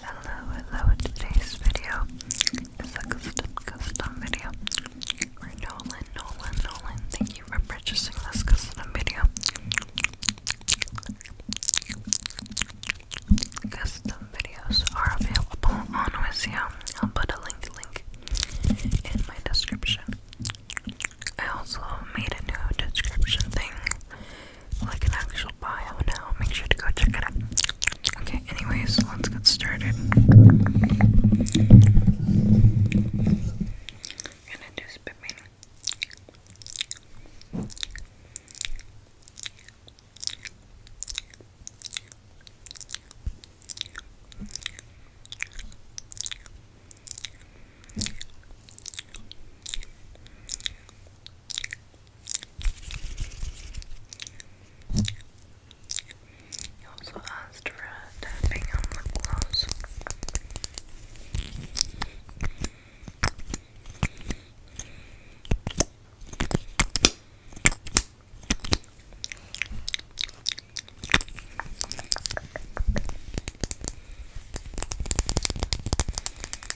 Hello, hello, today's video is a custom, custom video Nolan, Nolan, Nolan, thank you for purchasing this custom video Custom videos are available on Wizio, I'll put a link, link in my description I also made a new description thing like an actual bio now. Make sure to go check it out. Okay, anyways, let's get started. gonna do spit painting. He also asked for a tapping on the gloves.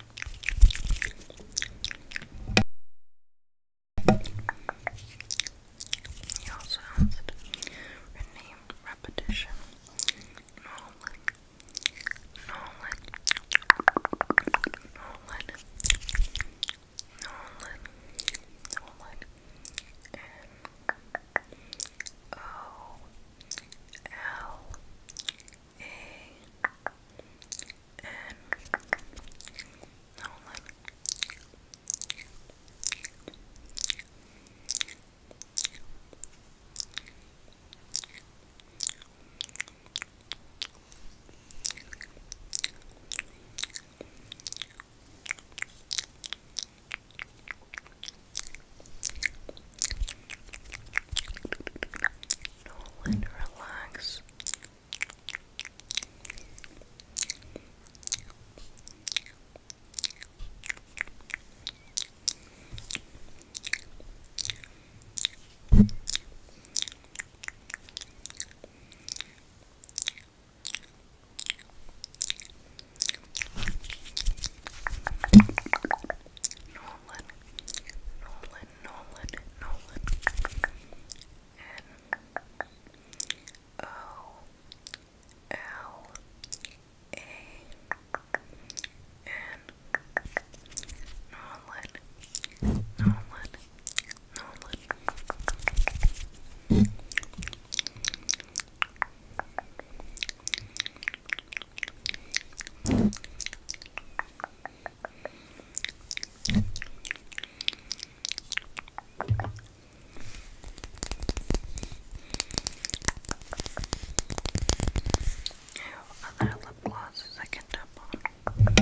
He also asked for name repetition. Nolan. Nolan. Nolan. Nolan. Nolan. N O L a N Nolan Nolan, relax. Nolan, Nolan, Nolan, Nolan, N O L A N Nolan, Nolan, Nolan. Nolan, other lip glosses I can tap on.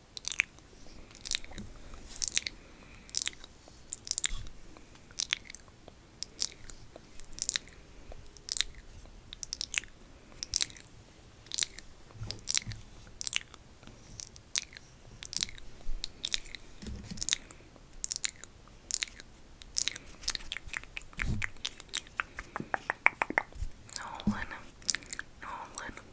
Nolan, Nolan,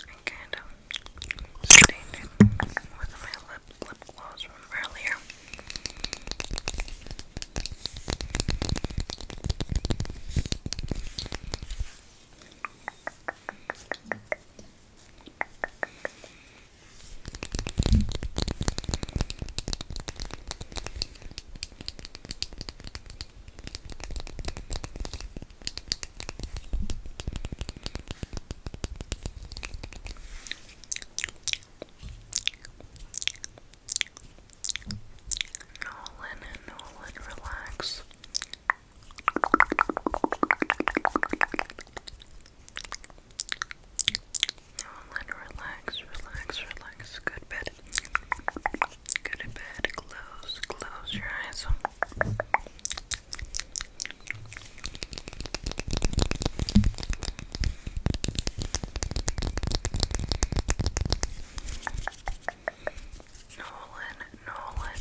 I kind of um, stained with my lip, lip gloss from earlier. Nolan and Nolan, relax. Hold relax, relax, relax. Good bed. Good bed. Close, close your eyes. Nolan, Nolan.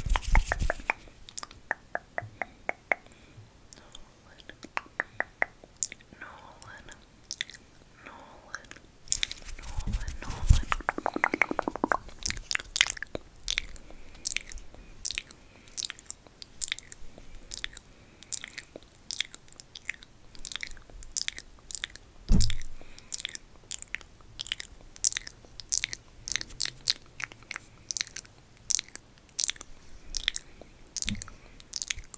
Nolan. Nolan, Nolan, Nolan, Nolan. Nolan,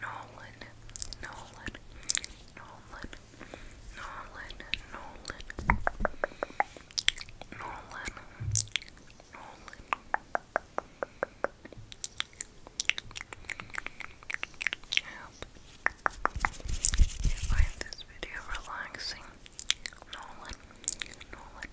Nolan, Nolan, Nolan, Nolan, Nolan, Nolan, Nolan, you find this video relaxing. Nolan, Nolan.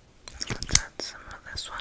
Let's add some of this one.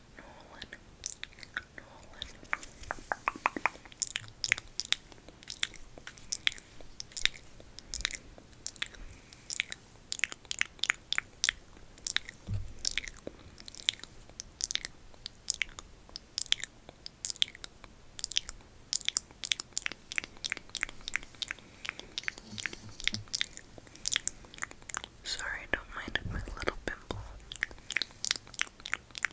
Nolan, Nolan. Sorry, don't mind my little pimple.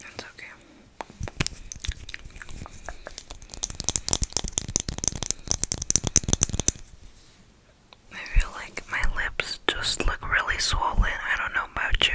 That's okay. I feel like my lips just look really swollen. I don't know about you.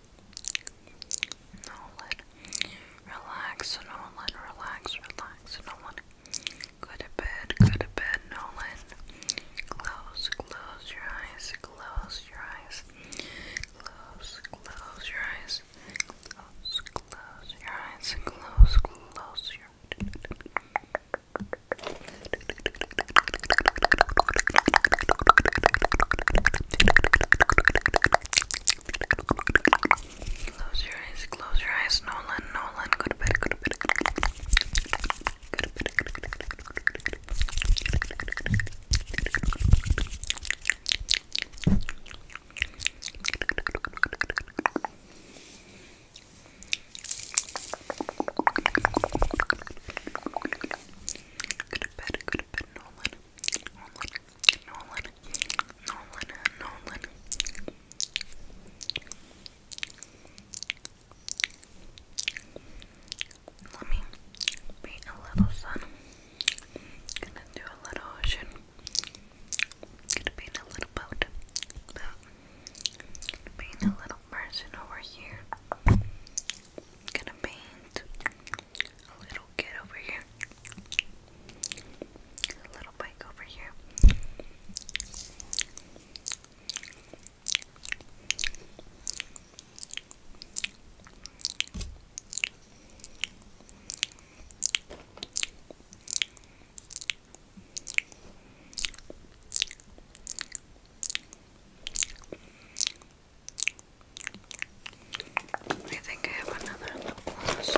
Nolan, relax, Nolan, relax, relax, Nolan. Go to bed, go to bed, Nolan. Close, close your eyes, close your eyes. Close, close your eyes. Close, close your eyes. Close, close your eyes. Close your eyes, close your eyes, Nolan, Nolan, good bit, good bit. Good bit, good bit, good bit. Good bed, good Christopher Nolan. Nolan. Nolan. Nolan. Nolan. Let me paint a little sun. Gonna do a little ocean. Gonna paint a little boat. Boat. Gonna paint a little person over here. Gonna paint a little kid over here, a little bike over here. I think I have another little gloss.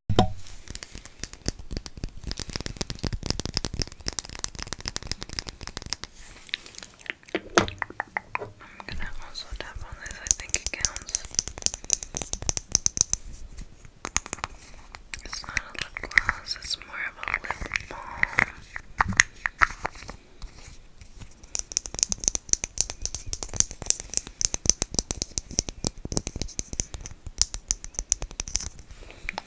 I'm gonna also tap on this, I think it counts. It's not a lip gloss, it's more of a lip balm.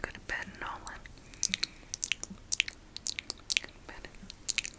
Go to bed, Nolan. Go to bed. Good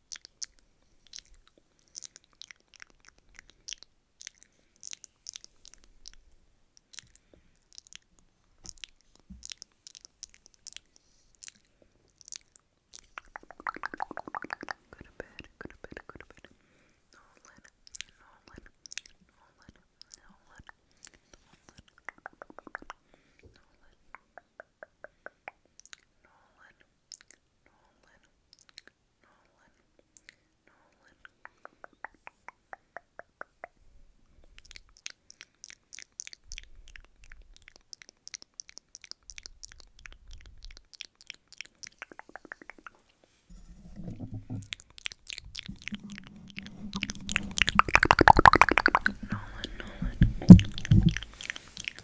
Go to bed, go to bed, go to bed. Nolan, Nolan, Nolan, Nolan, Nolan, Nolan, Nolan. Nolan, Nolan, Nolan. Nolan, Nolan, Nolan,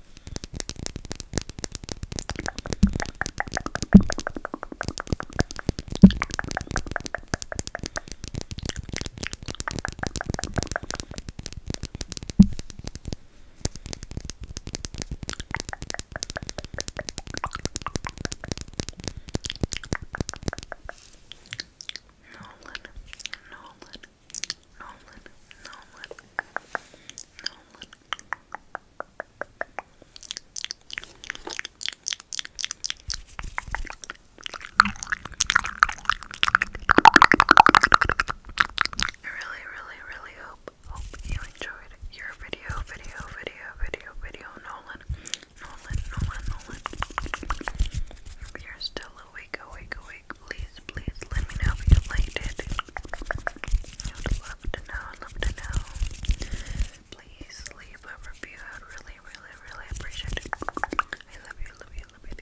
Nolan, Nolan, Nolan, Nolan, Nolan, I really, really, really hope hope you enjoyed your video, video, video, video, video, Nolan, Nolan, Nolan, Nolan. If you're still awake, awake, awake, please, please let me know if you liked it. I would love to know, love to know. Please leave a review. I'd really, really, really appreciate it. I love you, love you, love you.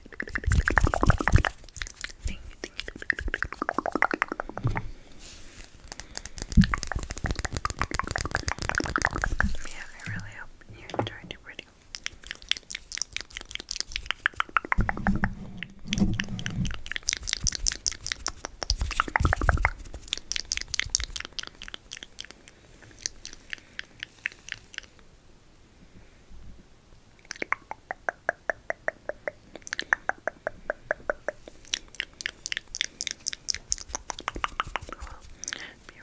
Yeah, I really hope you enjoyed your video. If you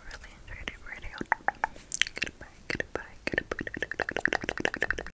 really enjoyed your video, goodbye, goodbye, goodbye.